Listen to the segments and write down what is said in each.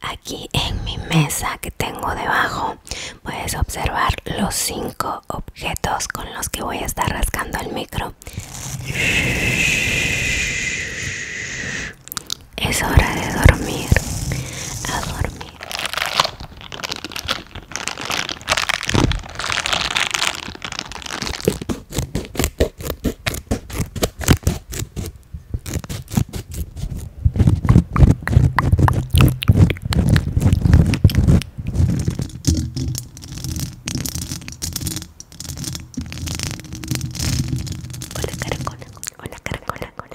Aquí en mi mesa que tengo debajo puedes observar los cinco objetos con los que voy a estar rascando el micro. Es hora de dormir. A dormir. Hola caracola, hola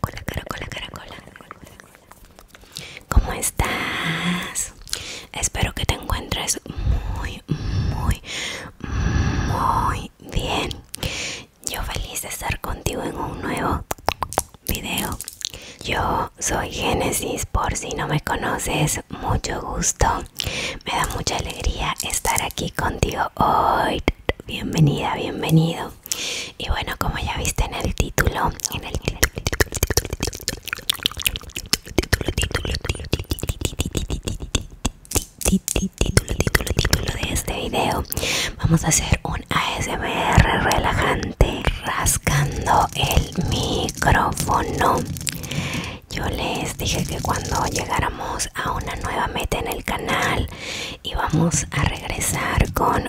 caracola, caracola, caracola. ¿Cómo estás? Espero que te encuentres muy, muy, muy bien. Yo feliz de estar contigo en un nuevo video. Yo soy Génesis, por si no me conoces, mucho gusto. Me da mucha alegría estar aquí contigo hoy. Bienvenida, bienvenido. Y bueno, como ya viste en el título, en el título, de este video, vamos a hacer un ASMR relajante rascando el micrófono. Yo les dije que cuando llegáramos a una nueva meta en el canal íbamos a regresar con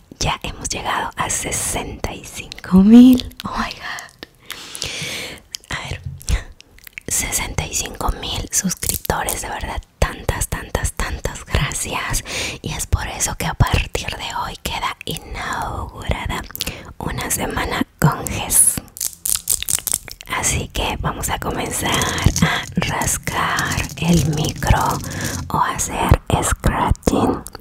ya hemos llegado a 65 mil. Oh my god. A ver, 65 mil suscriptores, de verdad. Tantas, tantas, tantas gracias. Y es por eso que a partir de hoy queda inaugurada una semana con GES. Así que vamos a comenzar a rascar el micro o hacer scratch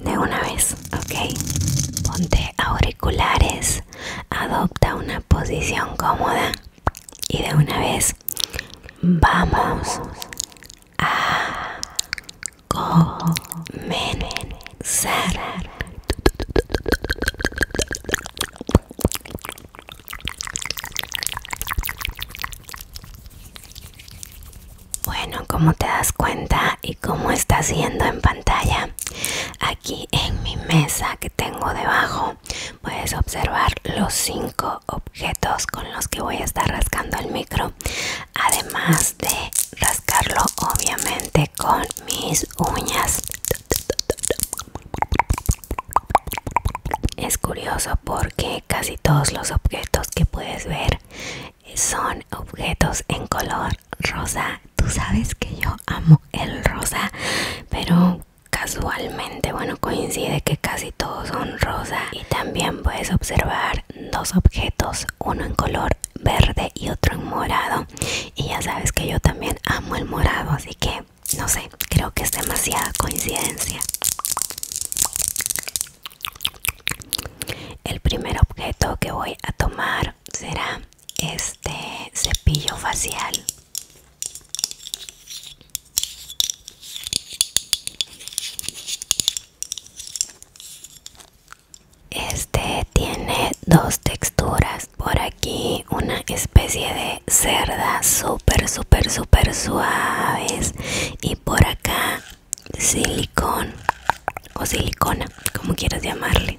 de una vez, ok. Ponte auriculares, adopta una posición cómoda y de una vez vamos a comenzar. Bueno, como te das cuenta y como está siendo en pantalla, aquí en mi mesa que tengo debajo puedes observar los cinco objetos con los que voy a estar rascando el micro, además de rascarlo obviamente con mis uñas. Es curioso porque casi todos los objetos que puedes ver son objetos en color rosa tú sabes que yo amo el rosa pero casualmente bueno coincide que casi todos son rosa y también puedes observar dos objetos uno en color verde y otro en morado y ya sabes que yo también amo el morado así que no sé creo que es demasiada coincidencia el primer objeto que voy a tomar será este cepillo facial. Este tiene dos texturas. Por aquí una especie de cerda super super super suaves. Y por acá silicón o silicona, como quieras llamarle.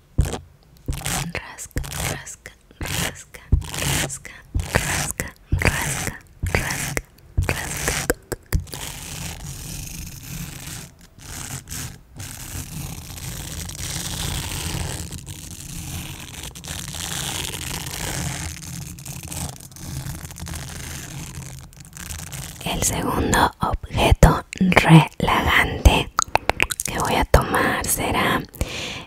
rasca, rasca, rasca, rasca, rasca, rasca, rasca, rasca. El segundo objeto relagante que voy a tomar será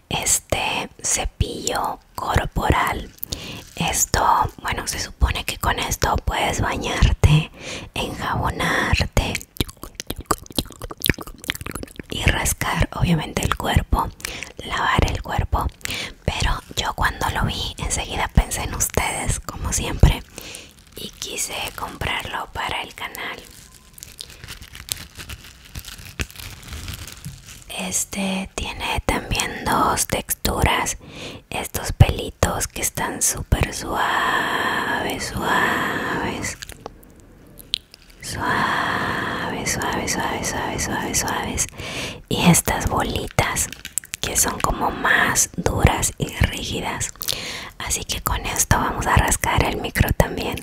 este cepillo corporal esto bueno se supone que con esto puedes bañarte enjabonarte y rascar obviamente el cuerpo lavar el cuerpo pero yo cuando lo vi enseguida pensé en ustedes como siempre y quise comprarlo para el canal este tiene también dos texturas. Estos pelitos que están súper suaves, suaves. Suaves, suaves, suaves, suaves, suaves, suaves. Y estas bolitas que son como más duras y rígidas. Así que con esto vamos a rascar el micro también.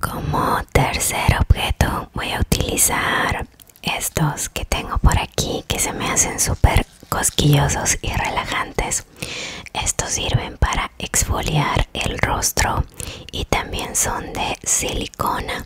Como tercer objeto voy a utilizar estos que tengo por aquí que se me hacen súper cosquillosos y relajantes. Estos sirven para exfoliar el rostro y también son de silicona.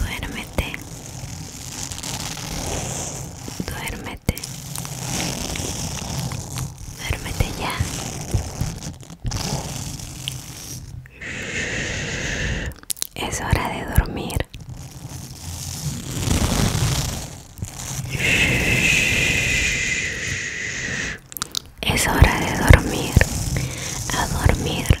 Duérmete Duérmete. Duérmete ya. Es hora de dormir. Es hora de dormir. A dormir.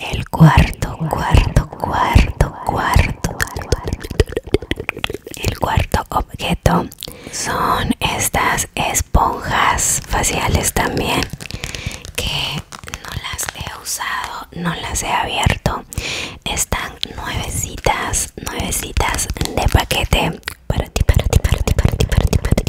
El cuarto, cuarto, cuarto, cuarto. El cuarto objeto son estas esponjas faciales también que no las he usado, no las he abierto. Están nuevecitas, nuevecitas de paquete para ti, para ti, para ti, para ti, para ti, para ti,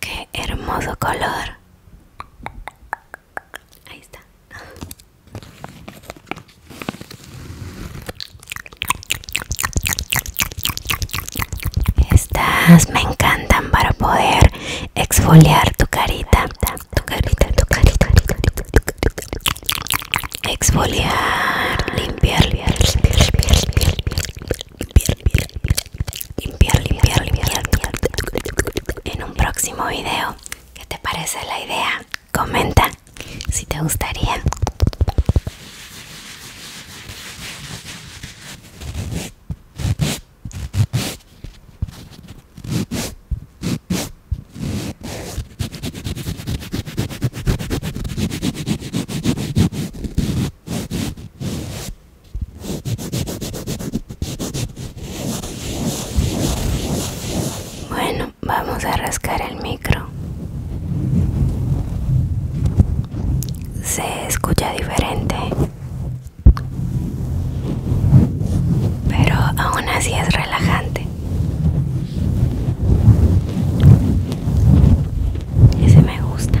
Qué hermoso color. Ahí está. Estas me encantan para poder exfoliar tu carita, tu carita, tu carita, tu carita, tu carita, tu carita exfoliar, limpiar, limpiar, limpiar, limpiar, limpiar, limpiar, limpiar, en un próximo video. ¿Qué te parece la idea? Comenta si te gustaría. Bueno, vamos a rascar el micro. Se escucha diferente, pero aún así es relajante. Ese me gusta.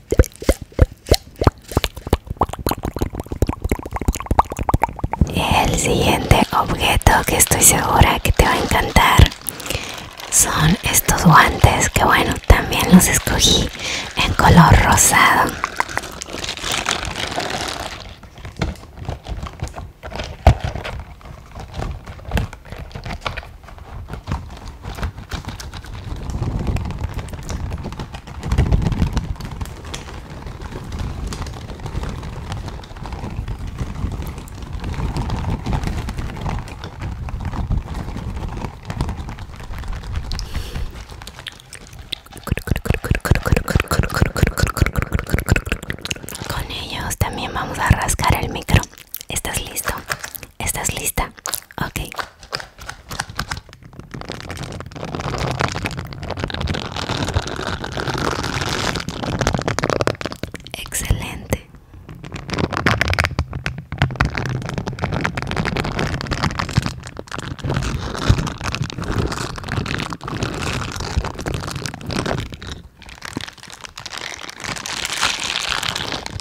El siguiente objeto que estoy segura que te va a encantar son estos guantes que bueno, también los escogí en color rosado. Con ellos también vamos a rascar el micro. ¿Estás listo? ¿Estás lista? Ok. Excelente.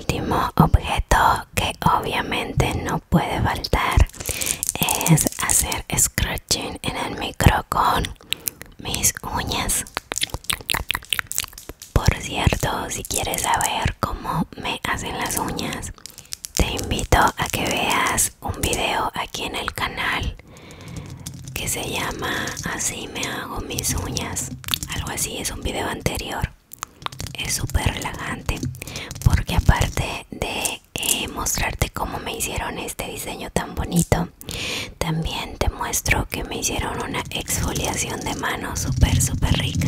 último objeto que obviamente no puede faltar es hacer scratching en el micro con mis uñas. Por cierto, si quieres saber cómo me hacen las uñas, te invito a que veas un video aquí en el canal que se llama Así me hago mis uñas. Algo así es un video anterior es súper relajante porque aparte de eh, mostrarte cómo me hicieron este diseño tan bonito también te muestro que me hicieron una exfoliación de mano súper súper rica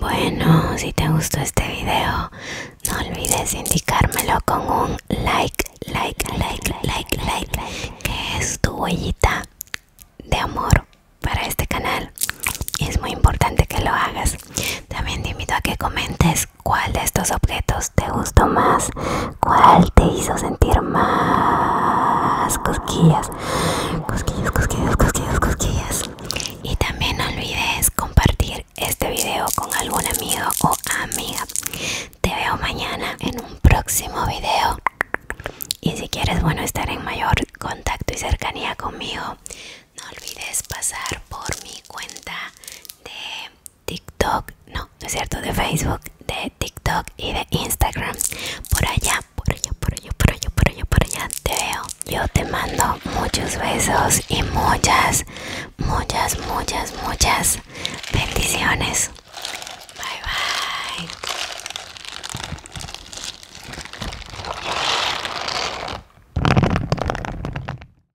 Bueno, si te gustó este video, no olvides indicármelo con un like, like, like, like, like, que es tu huellita de amor para este canal. Es muy importante que lo hagas. También te invito a que comentes ¿Cuál de estos objetos te gustó más? ¿Cuál te hizo sentir más cosquillas? Cosquillas, cosquillas, cosquillas, cosquillas. Y también no olvides compartir este video con algún amigo o amiga. Te veo mañana en un próximo video. Y si quieres, bueno, estar en mayor contacto y cercanía conmigo, no olvides pasar por mi cuenta de TikTok, no, no es cierto, de Facebook, de TikTok y de Instagram. Por allá, por allá, por allá, por allá, por allá, por allá te veo. Yo te mando muchos besos y muchas, muchas, muchas, muchas bendiciones. Bye bye.